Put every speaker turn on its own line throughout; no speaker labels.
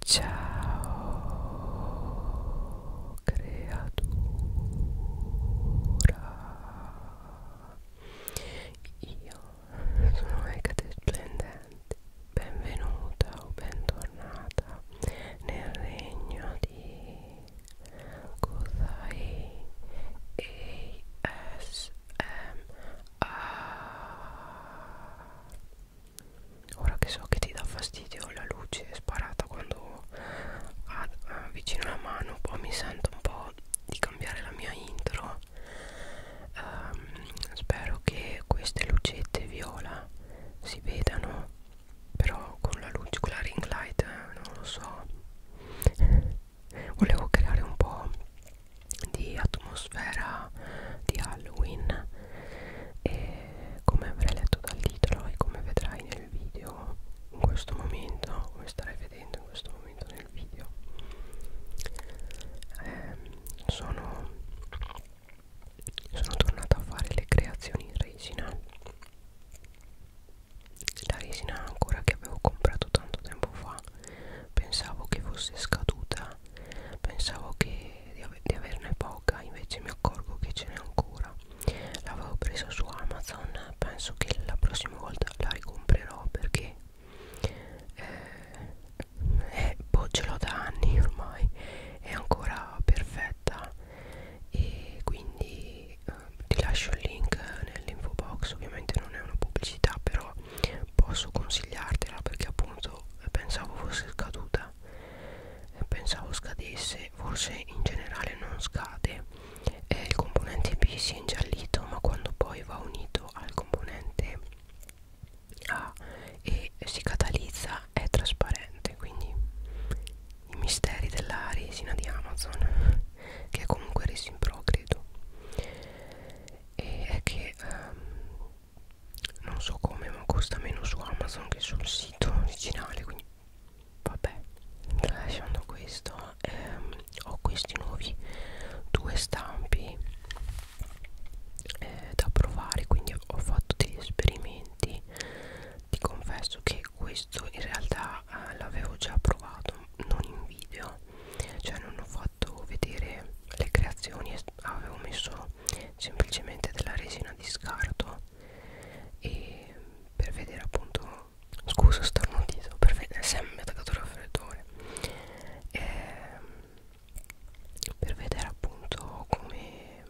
Ciao creatura Io sono Ecate Benvenuta o bentornata nel regno di Kuzai ora che so che ti dà fastidio la luce sparata quando avvicino la mano poi mi sento un po' di cambiare la mia intro um, spero che queste lucette viola si vedano però con la luce con la ring light eh, non lo so volevo creare un po' di atmosfera di Halloween e come avrai letto dal titolo e come vedrai nel video in questo momento come starai vedendo in questo momento nel video eh, sono, sono tornata a fare le creazioni in resina la resina ancora che avevo comprato tanto tempo fa pensavo che fosse scaduta ma pensavo che di, ave di averne poca invece mi accorgo che ce n'è ancora l'avevo presa su Amazon penso che la prossima volta la ricomprerò perché eh, eh, boh, ce l'ho da anni ormai è ancora perfetta e quindi eh, ti lascio il link nell'info box ovviamente non è una pubblicità però posso consigliartela perché appunto eh, pensavo fosse scaduta pensavo scadesse forse in generale non scade eh, il componente B si è ingiallito ma quando poi va unito al componente A e si catalizza è trasparente quindi i misteri della resina di Amazon che è comunque resin pro credo e è che um, non so come ma costa meno su Amazon che sul sito originale quindi vabbè lasciando questo ehm, ho questi nuovi due stampi eh, da provare quindi ho fatto degli esperimenti ti confesso che questo in realtà eh, l'avevo già provato non in video cioè non ho fatto vedere le creazioni avevo messo semplicemente della resina di scarto e per vedere appunto scusa starnutito per vedere se mi ha attaccato il raffreddore ehm, per vedere appunto come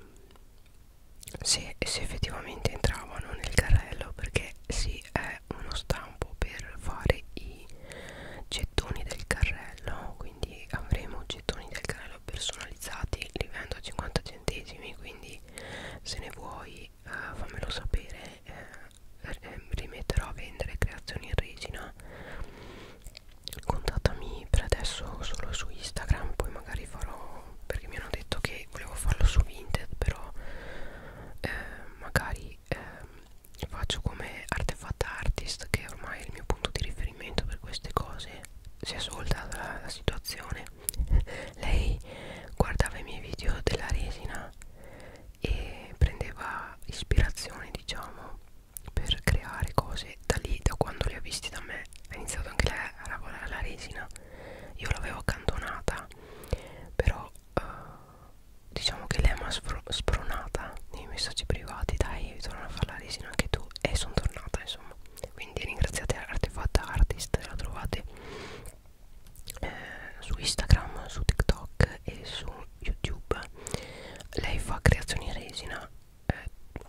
se, se effettivamente entravano nel carrello perché si è uno stampo per fare i gettoni del carrello quindi avremo gettoni del carrello livello personalizzati li vendo a 50 centesimi quindi se ne vuoi eh, fammelo sapere eh, eh, rimetterò a vendere creazioni in regina contattami per adesso solo su instagram poi magari farò perché mi hanno detto che volevo farlo su vinted però eh, magari eh, faccio come artefact artist che ormai è il mio punto di riferimento per queste cose si è svoltata la, la situazione lei guardava i miei video della resina e prendeva ispirazione diciamo per creare cose da lì da quando li ha visti da me ha iniziato anche lei a lavorare la resina io l'avevo accantonata però uh, diciamo che lei mi ha spronata nei messaggi privati dai torna a fare la resina anche tu e sono tornata insomma quindi ringraziate Artefatta Artist la trovate eh, su Instagram su TikTok e su YouTube lei fa creazioni resina eh,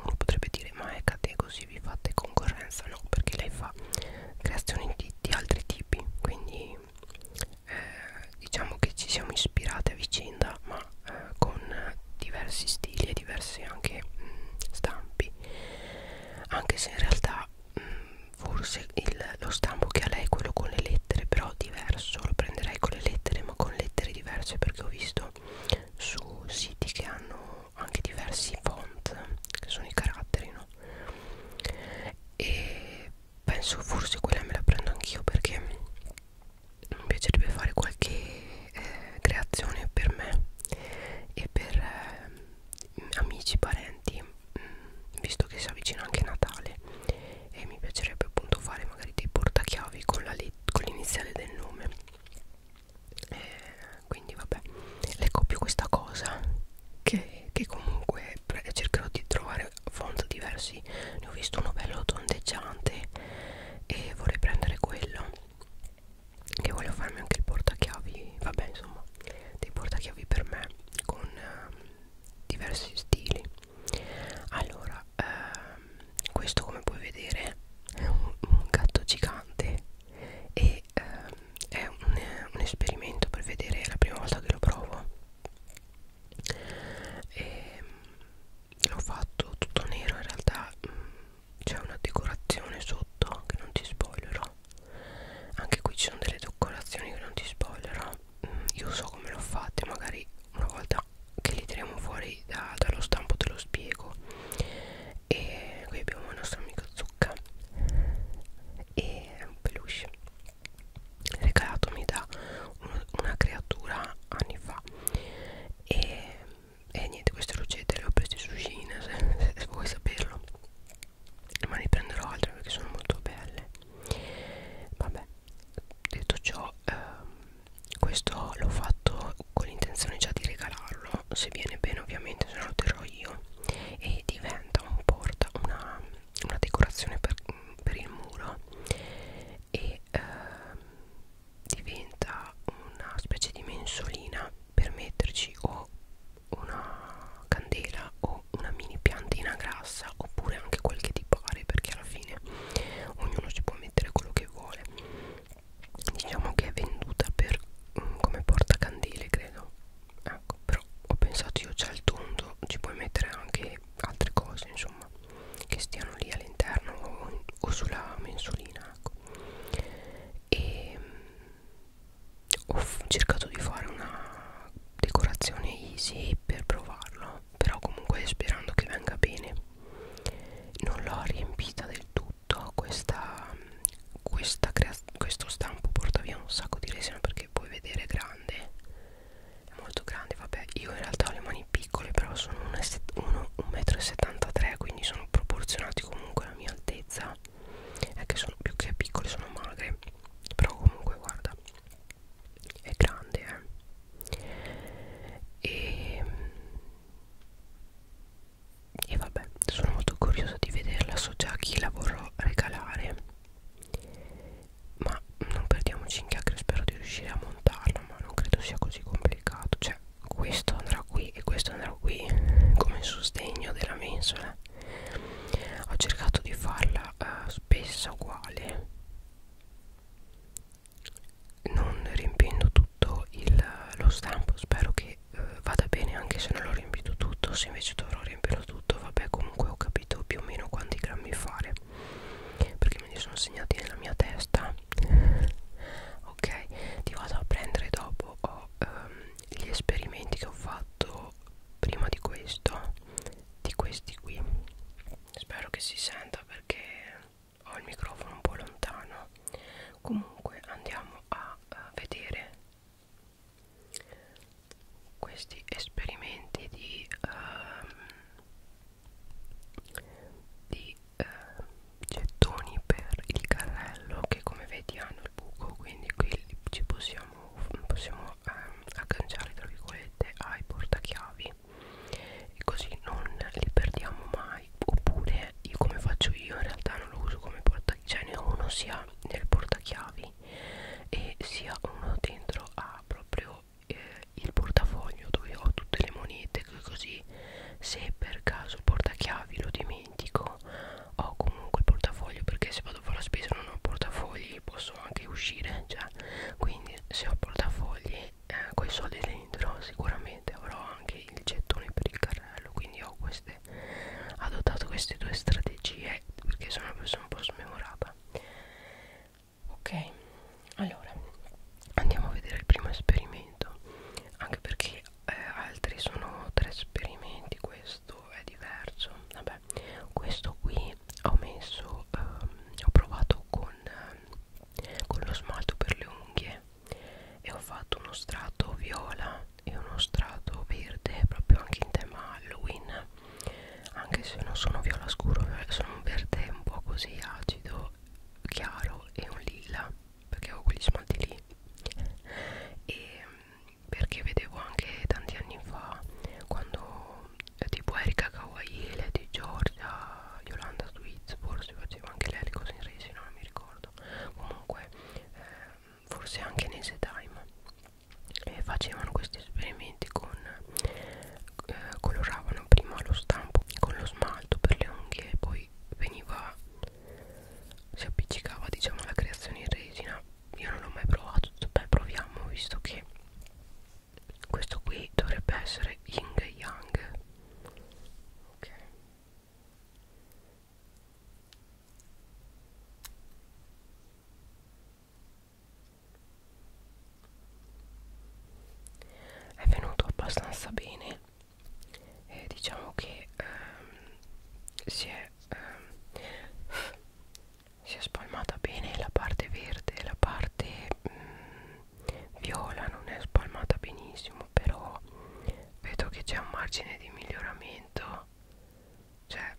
uno potrebbe dire ma è cate così vi fate concorrenza no perché lei fa creazioni di, di altri tipi quindi eh, diciamo che ci siamo ispirate a vicenda ma eh, con diversi stili e diversi anche mh, stampi anche se in realtà mh, forse il, lo stampo che ha lei è quello con le lettere però diverso lo prenderei con le lettere ma con lettere diverse perché ho visto su siti che hanno anche diversi font che sono i caratteri no e penso forse quella me la prendo anch'io perché mi piacerebbe fare qualche eh, creazione per me e per eh, amici, parenti, mh, mm, visto che si avvicina anche Natale e mi piacerebbe appunto fare magari dei portachiavi con l'iniziale del nome. Eh, quindi vabbè, le copio questa cosa che, che comunque cercherò di trovare font diversi, ne ho visto uno bello tondeggiante e vorrei prendere quello che voglio farmi anche il portachiavi vabbè insomma dei portachiavi per me con ehm, diversi stili allora ehm, questo come puoi vedere è un, un gatto gigante e ehm, è un, un esperimento per vedere è la prima volta che lo provo e ehm, l'ho fatto tutto nero in realtà mm, c'è una decorazione sotto che non ti spoilerò anche qui ci sono delle decorazioni che non ti spoilerò mm, io so come l'ho fatte magari una volta che li tiriamo fuori da, dallo stampo te lo spiego e qui abbiamo la nostra amica zucca e un peluche regalatomi da un, una creatura anni fa e e niente queste rocette le ho prese su Cina se, se vuoi saperlo ma ne prenderò altre perché sono molto belle vabbè detto ciò ehm, questo l'ho fatto con l'intenzione già di regalarlo se viene bene ovviamente se no lo terrò io e diventa un porta una, una decorazione per, per il muro e ehm, diventa una specie di mensolina per metterci o una candela o una mini piantina grassa oppure anche quel che ti pare perché alla fine ognuno ci può mettere quello che vuole diciamo che è venduta per um, come portacandele credo ecco però ho pensato io c'è il tondo ci puoi mettere anche altre cose insomma che stiano lì all'interno o, o sulla mensolina ecco. e mm, ho cercato di fare una decorazione easy per provarlo però comunque sperando che venga bene non l'ho riempita del tutto questa, mm, questa questo stampo porta via un sacco di resina perché puoi vedere grande è molto grande vabbè io in realtà ho le mani mani piccole però sono 1,73 m quindi sono proporzionati comunque alla mia altezza è che sono più che piccole sono magre però comunque guarda è grande eh e, e vabbè sono molto curiosa di vederla so già chi la vorrò regalare ma non perdiamoci in chiacchiere spero di riuscire a montarla ma non credo sia così complicato cioè questo andrà qui e questo andrà qui come sostegno della mensola ho cercato di farla uh, spessa uguale non riempiendo tutto il, lo stampo spero che uh, vada bene anche se non l'ho riempito tutto se invece dovrò riempirlo tutto vabbè comunque ho capito più o meno quanti grammi fare perché me li sono segnati nella mia testa ok ti vado a prendere dopo ho, um, gli esperimenti che ho fatto prima di questo di questi qui spero che si senta perché ho il microfono un po' lontano comunque andiamo a, a vedere questi esperimenti di um, di eh, gettoni per il carrello che come vedi hanno il buco quindi qui ci possiamo, possiamo eh, agganciare tra virgolette ai portachiavi e così non li perdiamo mai oppure io come faccio io in realtà non lo uso come portachiavi cioè ne ho uno sia nel portachiavi e sia uno dentro a proprio eh, il portafoglio dove ho tutte le monete così se per caso il portachiavi lo dimentico ho comunque il portafoglio perché se vado a fare la spesa non ho portafogli posso anche uscire cioè. quindi se ho portafogli eh, con i soldi dentro sicuramente avrò anche il gettone per il carrello quindi ho queste adottato queste due strategie perché sono una persona un po' smemorata ok allora andiamo a vedere il primo esperimento anche perché eh, altri sono tre esperimenti questo è diverso vabbè questo qui ho messo ehm, ho provato con, ehm, con lo smalto per le unghie e ho fatto uno strato viola e uno strato verde proprio anche in tema Halloween anche se non sono viola scuro sono un verde un po' così acido chiaro e un lila perché avevo quegli smalti lì e perché vedevo anche tanti anni fa quando eh, tipo Erika Kawaiele di Giorgia Yolanda Sweets forse faceva anche lei le cose in resina non mi ricordo comunque eh, forse anche in Ese Time eh, facevano questi esperimenti con eh, coloravano prima lo stampo con lo smalto per le unghie e poi poi veniva si appiccicava diciamo alla creazione in resina io non l'ho mai provato beh proviamo visto che questo qui dovrebbe essere Ying e Yang ok è venuto abbastanza bene eh, diciamo che ehm, si è ehm, si è spalmata bene la parte verde la parte mh, mm, viola non è spalmata benissimo però vedo che c'è un margine di miglioramento cioè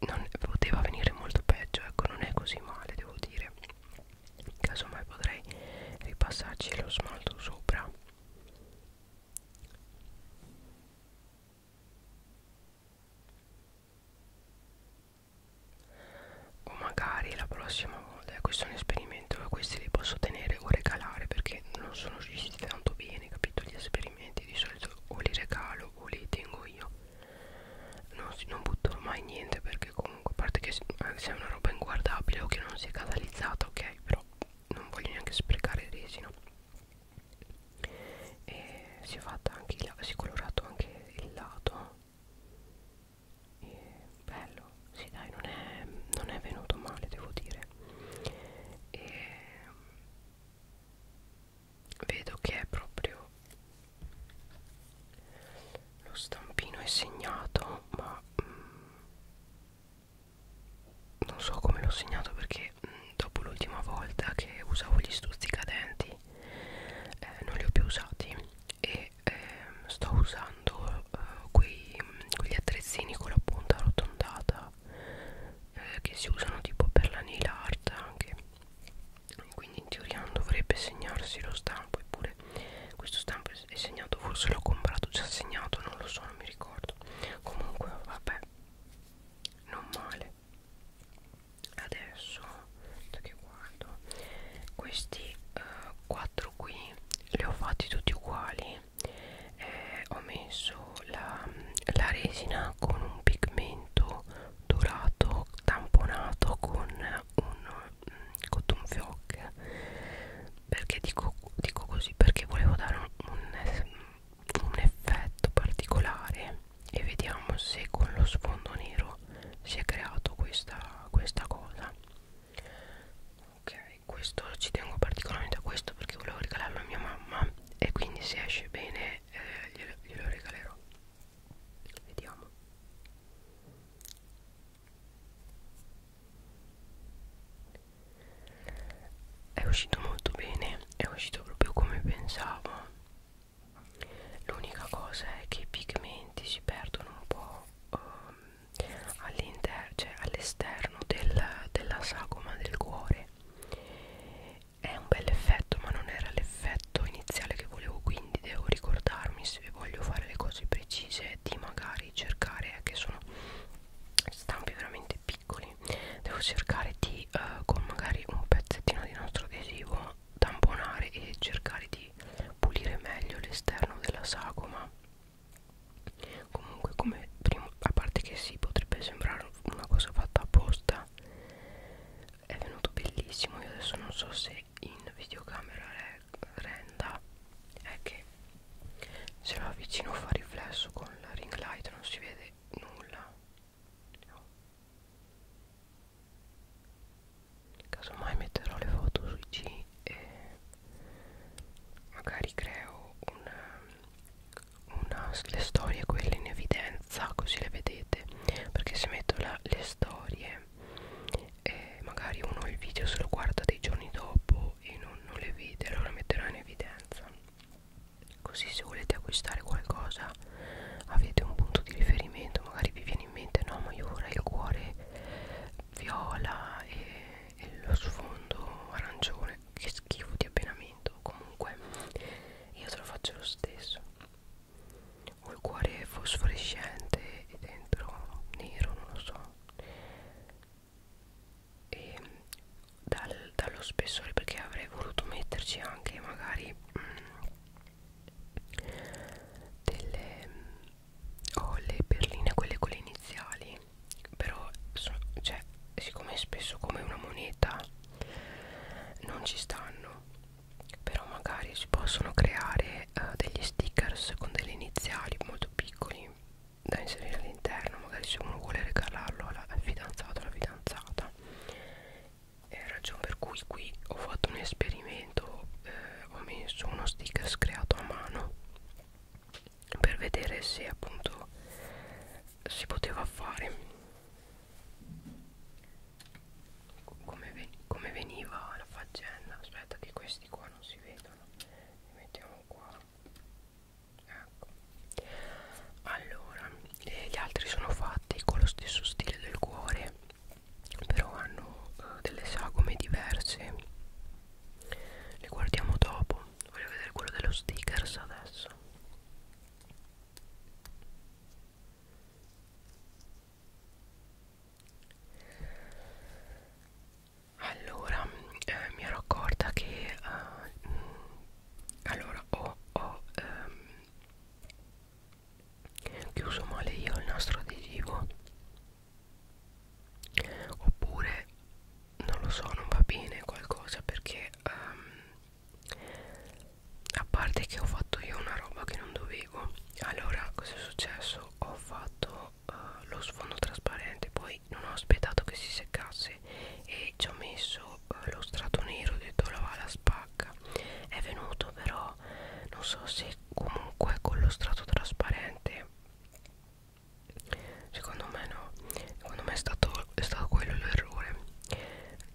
non poteva venire molto peggio ecco non è così male devo dire casomai potrei ripassarci lo smalto sopra o magari la prossima volta eh, questo è un esperimento questi li posso tenere o regalare perché non sono riusciti tanto bene capito gli esperimenti di solito o li regalo o li tengo io non, non butto mai niente perché comunque comunque a parte che eh, sia una roba inguardabile o che non sia catalizzata ok però non voglio neanche sprecare resino e si è fatta anche il, si è colorato anche il lato e bello sì dai non è, non è venuto male devo dire e vedo che è proprio lo stampino è segnato ma mm, non so come l'ho segnato perché mm, dopo l'ultima volta che usavo gli stuzzicadenti eh, non li ho più usati e eh, sto usando eh, quei, mm, quegli attrezzini con la punta arrotondata eh, che si usano tipo per la nail art anche quindi in teoria non dovrebbe segnarsi lo stampo eppure questo stampo è segnato forse l'ho comprato già segnato non lo so non mi ricordo comunque vabbè non male adesso che guardo questi eh, quattro eh, qui li ho fatti tutti uguali eh, ho messo la, la resina con un pigmento dorato tamponato con un cotton fioc perché dico, dico così perché volevo dare un, un, un effetto particolare e vediamo se con lo sfondo nero si è creato questa, questa cosa ok questo ci tengo particolarmente a questo perché volevo regalarlo a mia mamma e quindi se esce bene eh, glielo, glielo regalerò vediamo è uscito molto bene è uscito proprio come pensavo l'unica cosa è che i pigmenti si perdono un po' um, ehm, all'interno cioè all'esterno del, della sagoma del cuore è un bel effetto ma non era l'effetto iniziale che volevo quindi devo ricordarmi se voglio fare le cose precise di magari dovrei cercare è eh, che sono stampi veramente piccoli devo cercare di uh, con magari un pezzettino di nostro adesivo tamponare e cercare di pulire meglio l'esterno della sagoma comunque come primo a parte che si sì, potrebbe sembrare una cosa fatta apposta è venuto bellissimo io adesso non so se in videocamera eh, renda è che se lo avvicino fa riflesso con la ring light non si vede nulla no. casomai metterò le foto su IG e magari creo una, um, una, le storie quelle in evidenza così le vedete perché se metto la, le storie e magari uno il video se lo guarda dei giorni dopo e non, non le vede allora metterò in evidenza così se volete acquistare qualcosa avete un punto di riferimento magari vi viene in mente no ma io vorrei il cuore viola e, e lo sfondo arancione che schifo di abbinamento comunque io te lo faccio lo stesso ho il cuore fosforescente e dentro nero non lo so e dal, dallo spessore perché avrei voluto metterci anche magari mh, mm, delle mm, oh, le perline quelle con le iniziali però so, cioè, siccome è spesso come una moneta non ci stanno però magari si possono creare fare eh, degli stickers con delle iniziali molto piccoli da inserire all'interno magari se uno vuole regalarlo alla, al fidanzato alla fidanzata è ragione per cui qui ho fatto un esperimento eh, ho messo uno sticker creato a mano per vedere se appunto si poteva fare come, ven come veniva la faccenda aspetta che questi qua non si vedono guardano li mettiamo qua ecco allora eh, gli altri sono fatti con lo stesso stile del cuore però hanno eh, delle sagome diverse le guardiamo dopo voglio vedere quello dello stickers adesso allora eh, mi ero accorta che eh, allora ho, ho ehm, chiuso male io il nastro adesivo oppure non lo so non va bene qualcosa perché ehm, a parte che ho fatto io una roba che non dovevo allora cosa è successo ho fatto uh, lo sfondo trasparente poi non ho aspettato che si seccasse e ci ho messo uh, lo strato nero ho detto la va la spacca è venuto però non so se comunque con lo strato trasparente secondo me no secondo me è stato, è stato quello l'errore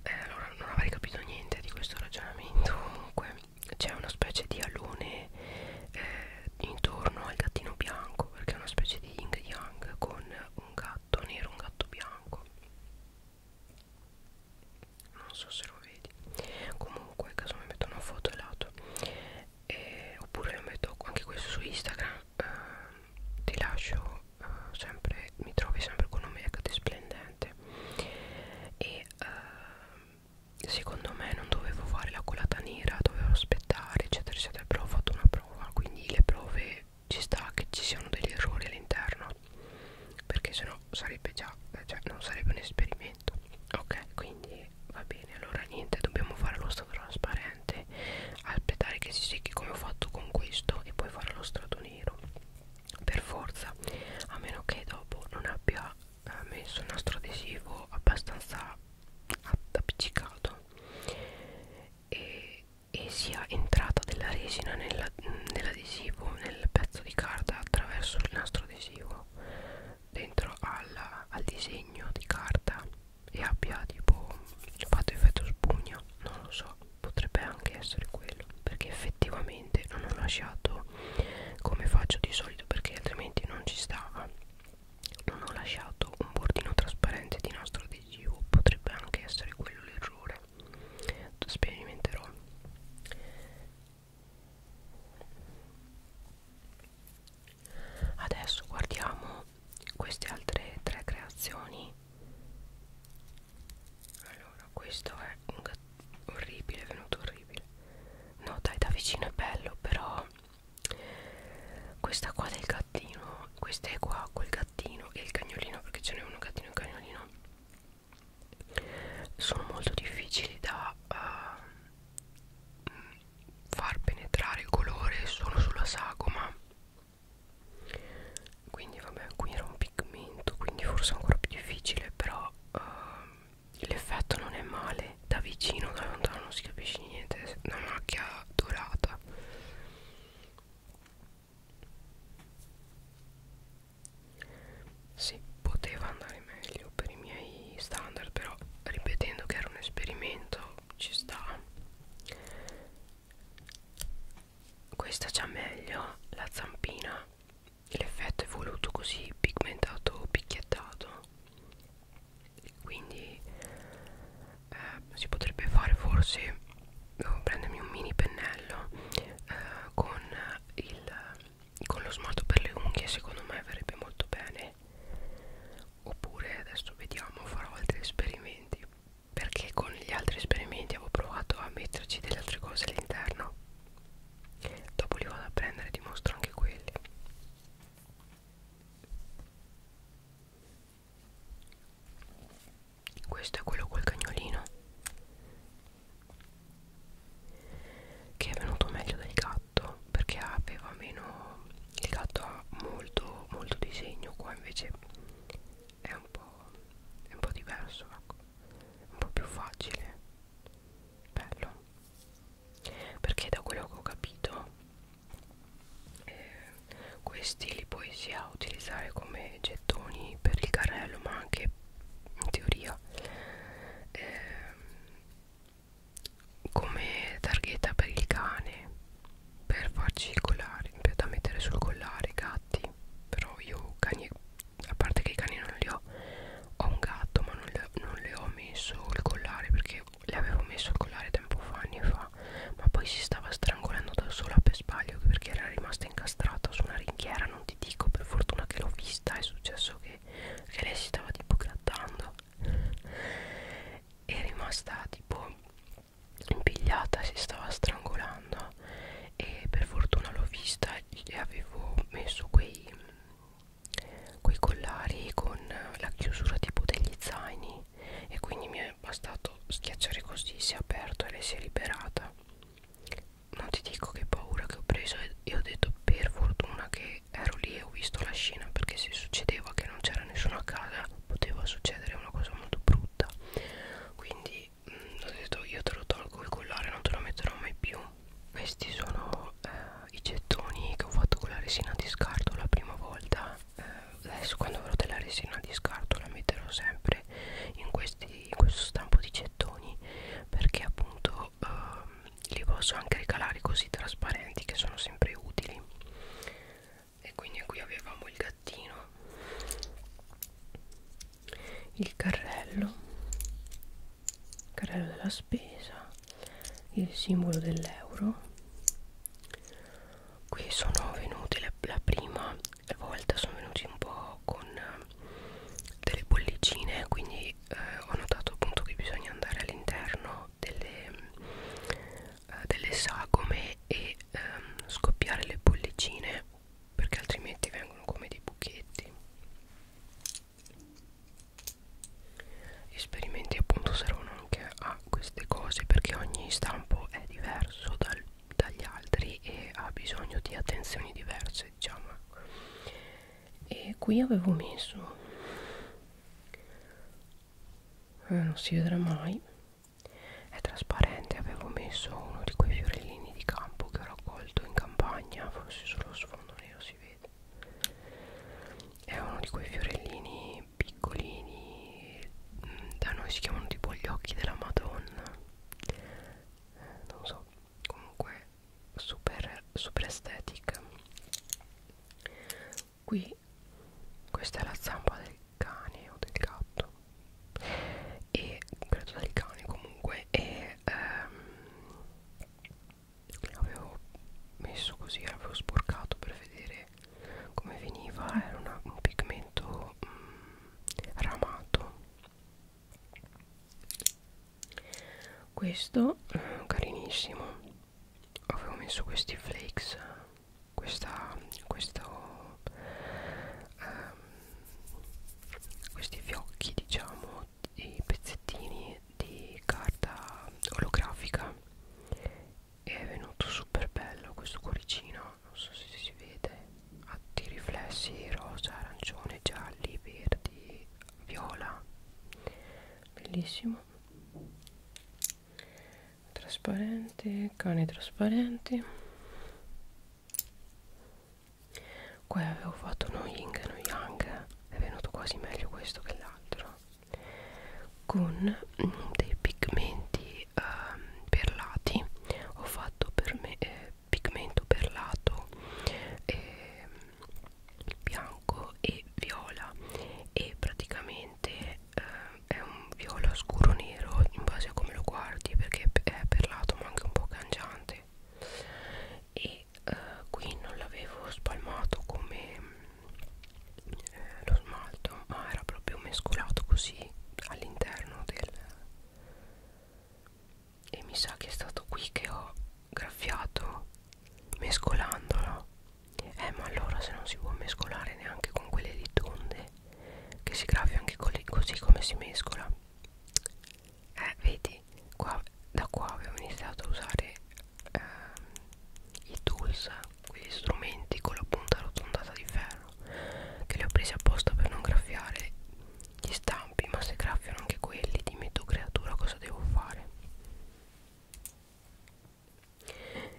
eh, allora non avrei capito niente di questo ragionamento comunque c'è una specie di alone eh, intorno al gattino bianco perché è una specie di yin yang con un gatto nero un gatto bianco non so se lo vedi comunque caso mi metto una foto al lato e, oppure lo metto anche questo su instagram eh, ti lascio eh, sempre mi trovi sempre con un make splendente e eh, secondo me non dovevo fare la colata nera dovevo aspettare eccetera eccetera però ho fatto una prova quindi le prove ci sta che ci siano degli errori all'interno perché sennò sarebbe già eh, cioè non sarebbe un esperimento ok quindi va bene allora niente dobbiamo fare lo strato trasparente aspettare che si secchi come ho fatto con questo e poi fare lo strato nero per forza a meno che dopo non abbia ha messo il nastro adesivo abbastanza appiccicato e, e sia entrata della resina nell'adesivo nell nel pezzo di carta attraverso il nastro adesivo dentro alla, al disegno di carta e abbia tipo fatto effetto spugna non lo so potrebbe anche essere quello perché effettivamente non ho lasciato come faccio di solito perché altrimenti non ci stava non ho lasciato un bordino trasparente di nastro adesivo potrebbe anche essere quello l'errore sperimenterò adesso guardiamo queste altre tre creazioni allora questo è un orribile è venuto orribile no dai da vicino è bello però questa qua del gattino questa è qua col gattino e il cagnolino perché ce n'è uno gattino e un cagnolino sono molto difficili da uh, far penetrare il colore solo sulla sagoma quindi vabbè qui era un pigmento quindi forse è ancora più difficile però uh, l'effetto non è male da vicino da lontano non si capisce niente una macchia dorata sì, poteva andare meglio per i miei standard però ripetendo che era un esperimento ci sta questa c'ha meglio la zampina l'effetto è voluto così pigmentato o picchiettato quindi eh, si potrebbe fare forse devo oh, prendermi un mini pennello eh, con, il, con lo smalto per le unghie secondo me verrebbe molto bene oppure adesso vediamo farò altri esperimenti perché con gli altri esperimenti avevo provato a metterci delle altre cose all'interno dopo li vado a prendere e ti mostro anche quelli questo è quello col cagnolino che è venuto meglio del gatto perché aveva meno il gatto ha molto molto disegno qua invece è un po' è un po' diverso ecco un po' più facile bello perché da quello che ho capito eh, questi li puoi sia utilizzare come gettoni per il carrello ma anche in teoria eh, come targhetta per il cane per farci il collare per da mettere sul collare i gatti però io cani a parte che i cani non li ho ho un gatto ma non le, non le ho messo il collare perché le avevo messo il collare tempo fa, anni fa ma poi si stava strangolando da sola per sbaglio perché era rimasta incastrata su una ringhiera non ti dico per fortuna che l'ho vista è successo che, che lei si stava tipo grattando è rimasta tipo impigliata si stava strangolando e per fortuna l'ho vista e avevo messo quei quei collari con la chiusura tipo degli zaini e quindi mi è bastato schiacciare così si è aperto e lei si è liberata non ti dico che paura che ho preso e ho detto per fortuna che ero lì e ho visto la scena perché se succedeva che non c'era nessuno a casa poteva succedere una cosa molto brutta quindi mh, mm, ho detto io te lo tolgo il collare non te lo metterò mai più questi sono eh, i gettoni che ho fatto con la resina di scarto la prima volta eh, adesso quando avrò della resina di scarto la metterò sempre in, questi, in questo stampo di gettoni perché appunto eh, li posso anche ricalare così trasparenti che sono sempre utili e quindi qui avevamo il gattino il carrello il carrello della spesa il simbolo dell'euro qui sono venuti la, la prima volta sono venuti un po' con eh, delle bollicine quindi eh, ho notato appunto che bisogna andare all'interno delle, eh, delle sagome e ehm, scoppiare le bollicine perché altrimenti vengono come dei buchetti gli esperimenti appunto servono anche a queste cose perché ogni stampo è diverso dal, dagli altri e ha bisogno di attenzioni diverse diciamo e qui avevo messo eh, non si vedrà mai è trasparente avevo messo uno di quei fiorellini di campo che ho raccolto in campagna forse sullo sfondo nero si vede sapete è uno di quei fiorellini piccolini mm, da noi si chiamano tipo gli occhi della madonna eh, non so comunque super super estetica qui questa è la zampa del cane o del gatto e credo del cane comunque e ehm, avevo messo così avevo sporcato per vedere come veniva era una, un pigmento mm, ramato questo eh, carinissimo avevo messo questi flakes questa, questo, ehm, questi fiocchi diciamo i pezzettini di carta olografica e è venuto super bello questo cuoricino non so se si vede ha dei riflessi rosa, arancione, gialli, verdi, viola bellissimo trasparente cani trasparenti qua avevo fatto uno ying e uno yang è venuto quasi meglio questo che l'altro con dei pigmenti eh, perlati ho fatto per me eh, pigmento perlato eh, bianco e viola e praticamente eh, è un viola scuro nero in base a come lo guardi perché è perlato ma anche un po' cangiante e e eh, qui non l'avevo spalmato come eh, lo smalto ma era proprio mescolato così all'interno del e mi sa che è stato qui che ho graffiato mescolandolo eh ma allora se non si può mescolare neanche con quelle lì tonde che si graffia anche così come si mescola eh vedi qua, da qua avevo iniziato a usare ehm, i tools quegli strumenti con la punta arrotondata di ferro che li ho presi apposta per non graffiare gli stampi ma se graffiano anche quelli dimmi tu creatura cosa devo fare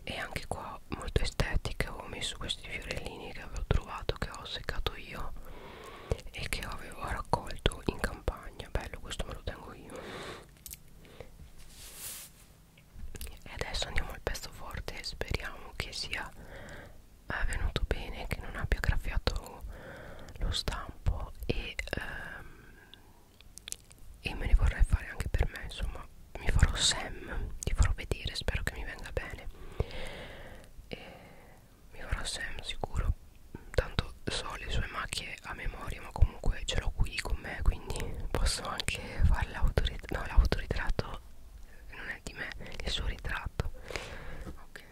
e anche qua molto estetica ho messo questi fiorellini che avevo trovato che ho seccato io e che avevo raccolto in campagna bello questo me lo tengo io e adesso andiamo al pezzo forte speriamo che sia eh, venuto bene che non abbia graffiato lo stampo e, um, e me ne vorrei fare anche per me insomma mi farò Sam ti farò vedere spero che mi venga bene e mi farò Sam sicuro tanto so le sue macchie a memoria ma comunque ce l'ho qui con me quindi posso anche fare l'autoritratto no l'autoritratto non è di me è il suo ritratto ok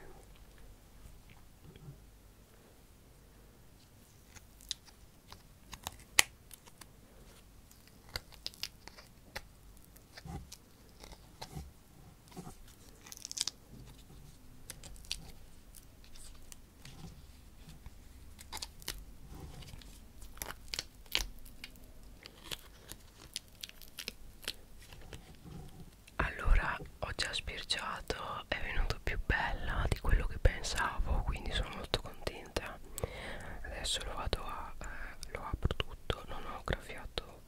allora ho già spirciato, è venuto più bella di quello che pensavo, quindi sono molto contenta. Adesso lo vado a eh, lo apro tutto, non ho graffiato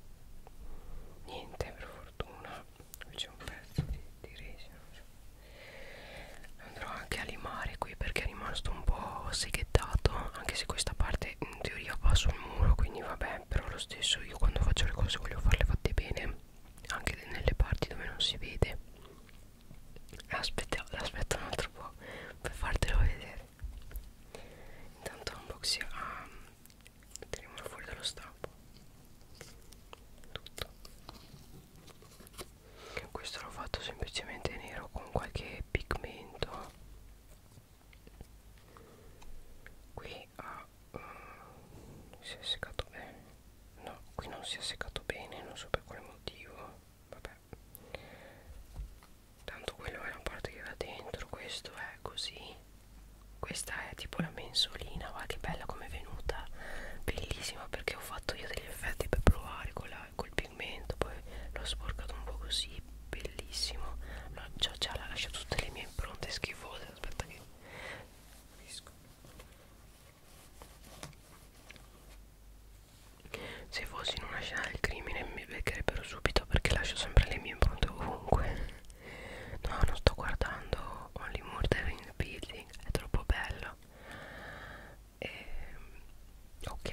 niente per fortuna qui c'è un pezzo di, di resina so. andrò anche a limare qui perché è rimasto un po' seghettato anche se questa parte in teoria va sul muro quindi vabbè però lo stesso io quando faccio le cose voglio farle fatte bene anche nelle parti dove non si vede aspetta, aspetta un altro po' per fartelo vedere intanto unboxing ah, teniamolo fuori dallo stampo tutto questo l'ho fatto semplicemente nero con qualche pigmento qui ha uh, si è seccato bene no qui non si è seccato bene non so per quale motivo vabbè tanto quello è la parte che va dentro questo è così questa è tipo una mensolina va che bella come è venuta bellissima perché ho fatto io degli effetti per provare con la, col pigmento poi l'ho sporcato un po' così bellissimo no, già, già l'ha lasciato tutte le mie impronte schifose aspetta che se fossi in una scena del crimine mi beccherebbero subito perché lascio sempre le mie impronte ovunque no non sto guardando Only Murder in the Building è troppo bello e, ehm, ok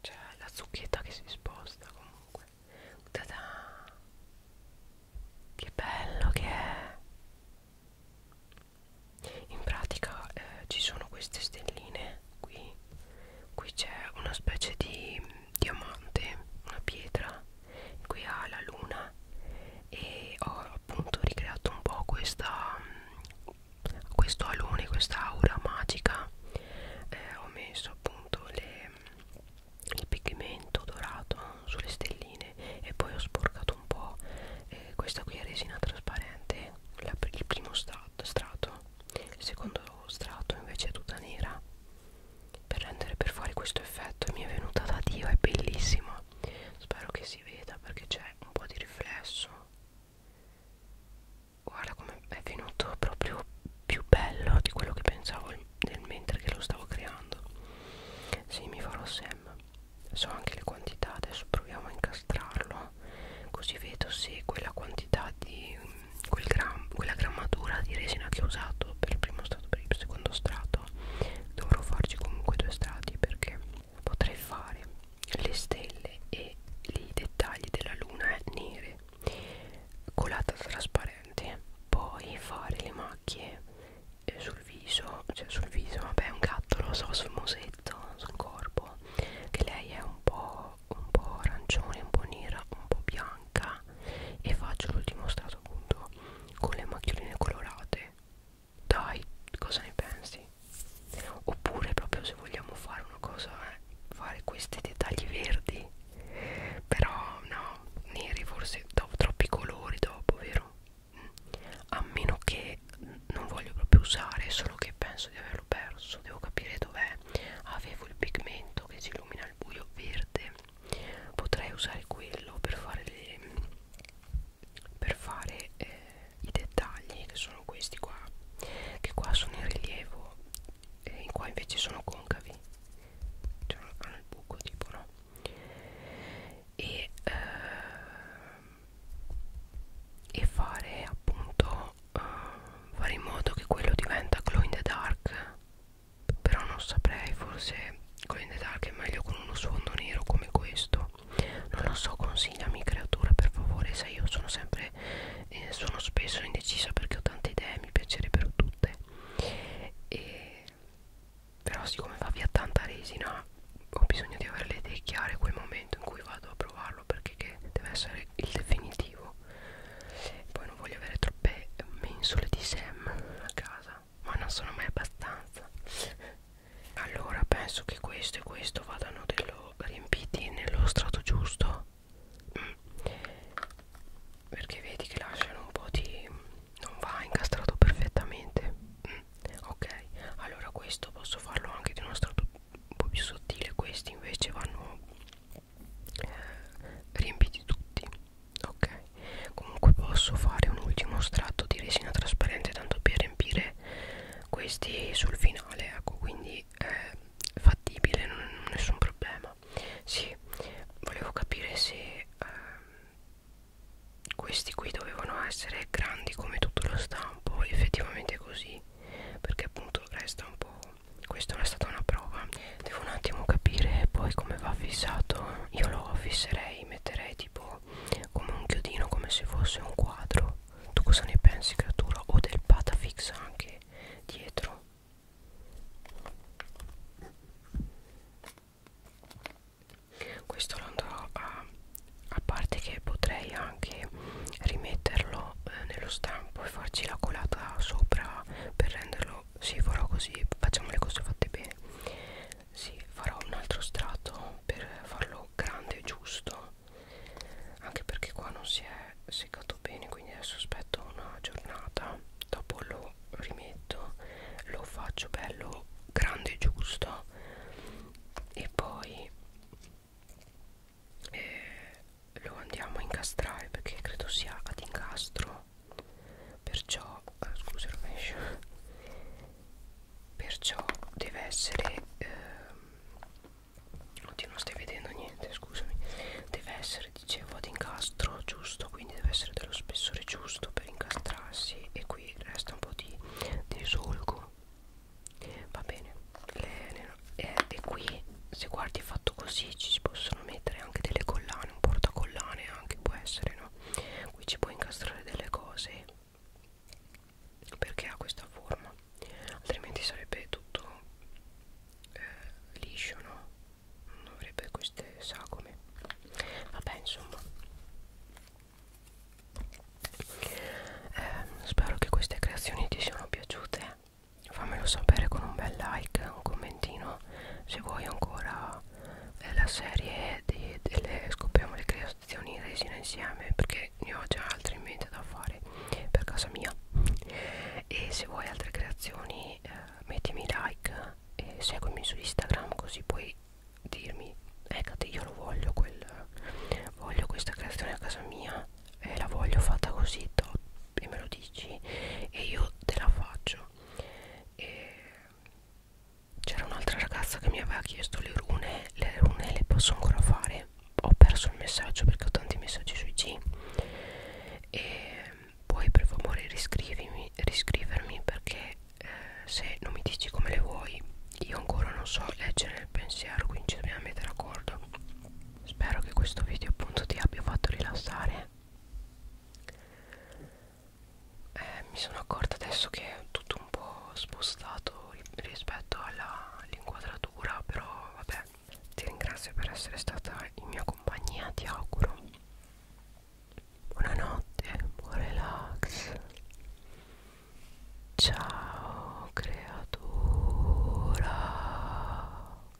c'è la zucchetta che si sposta comunque Tada! che bello che è in pratica eh, ci sono queste stelline qui qui c'è una specie di diamante una pietra qui ha la luna e ho appunto ricreato un po' questa questo alone questa aura magica eh, ho messo appunto le, il pigmento dorato sulle stelline e poi ho sporcato un po' eh, questa qui è resina trasparente la, il primo strato, strato il secondo strato invece è tutta nera per rendere per fuori questo effetto e mi è venuta da Dio, è bellissima. Spero che si veda perché c'è un po' di riflesso. Guarda come è venuto proprio più bello di quello che pensavo nel mentre che lo stavo creando. Sì, mi farò Sam. So anche le quantità, adesso proviamo a incastrarlo. Così vedo se quella quantità di quel gram, quella grammatura di resina che ho usato per il primo strato per il secondo strato dovrò farci comunque due strati perché potrei fare le stelle e i dettagli della luna nere colata trasparente poi fare le macchie eh, sul viso cioè sul viso vabbè è un gatto lo so sul musetto sul corpo che lei è un po' un po' arancione, un po' nera, un po' bianca e faccio l'ultimo strato appunto con le macchioline colorate dai cosa ne pensi oppure proprio se vogliamo fare una cosa eh, fare questi dettagli verdi però no neri forse dopo troppi colori dopo vero a meno che non voglio proprio usare solo che penso di averlo perso devo capire dov'è avevo il pigmento che si illumina al buio verde potrei usare quello per fare le, per fare eh, i dettagli che sono questi qua che qua sono in rilievo e qua invece sono concavi cioè hanno il buco tipo no e, eh, e fare appunto eh, fare in modo che quello diventa glow in the dark però non saprei forse con in the dark è meglio con uno sfondo nero come questo non lo so consigliami creatura per favore sai io sono sempre eh, sono spesso indecisa perché ho tante idee mi piacerebbero tutte e però siccome va via tanta resina ho bisogno di avere le idee chiare quel momento in cui vado a provarlo perché che deve essere il definitivo no poi non voglio avere troppe mensole di Sam a casa ma non sono mai abbastanza allora penso che questo e questo vadano dello, riempiti nello strato giusto mm. perché vedi che lasciano un po' di non va incastrato perfettamente mm. ok allora questo posso farlo anche di uno strato un po' più sottile questi invece vanno riempiti tutti ok comunque posso fare un ultimo strato di resina trasparente tanto per riempire questi sul finale ecco quindi è fattibile non, nessun problema sì volevo capire se eh, questi qui dovevano essere grandi come tutto lo stampo effettivamente così perché appunto resta un po' questa è stata una prova devo un attimo capire poi come va fissato io lo fisserei metterei tipo come un chiodino come se fosse un quadro tu cosa ne pensi creatura o del patafix anche dietro questo lo andrò a a parte che potrei anche rimetterlo eh, nello stampo e farci la colata sopra per renderlo sì farò così facciamo le cose fatte bene sì farò un altro strato per farlo grande e giusto anche perché qua non si è seccato bene quindi adesso aspetto una giornata dopo lo rimetto lo faccio bello grande e giusto e poi eh, lo andiamo a incastrare perché credo sia ad incastro perciò ah, scusa rovescio perciò deve essere ehm, oddio non stai vedendo niente scusami deve essere dicevo ad incastro giusto quindi deve essere dello spessore giusto per incastrarsi e qui resta un po' di, di solco va bene le, le, e, eh, e qui se guardi fatto così ci si possono mettere anche delle collane un portacollane anche può essere no qui ci puoi incastrare delle cose perché ha questa forma altrimenti sarebbe tutto eh, liscio no non avrebbe queste sagome vabbè insomma eh, spero che queste creazioni ti siano piaciute fammelo sapere con un bel like un commentino se vuoi ancora eh, la serie di, delle scopriamo le creazioni resine insieme perché ne ho già altri in mente da fare per casa mia e se vuoi altre creazioni eh, mettimi like e seguimi su Instagram così puoi dirmi eccate eh, io lo voglio quel voglio questa creazione a casa mia e la voglio fatta così top e me lo dici e io te la faccio c'era un'altra ragazza che mi aveva chiesto le rune le rune le posso ancora fare ho perso il messaggio perché ho tanti messaggi sui G e poi per favore riscrivimi, riscrivermi perché eh, se non mi dici come le vuoi io ancora non so leggere nel pensiero quindi ci dobbiamo mettere d'accordo spero che questo video appunto ti abbia fatto rilassare eh, mi sono accorta adesso che è tutto un po' spostato rispetto all'inquadratura all però vabbè ti ringrazio per essere stata in mia compagnia ti auguro buonanotte buon relax ciao creatura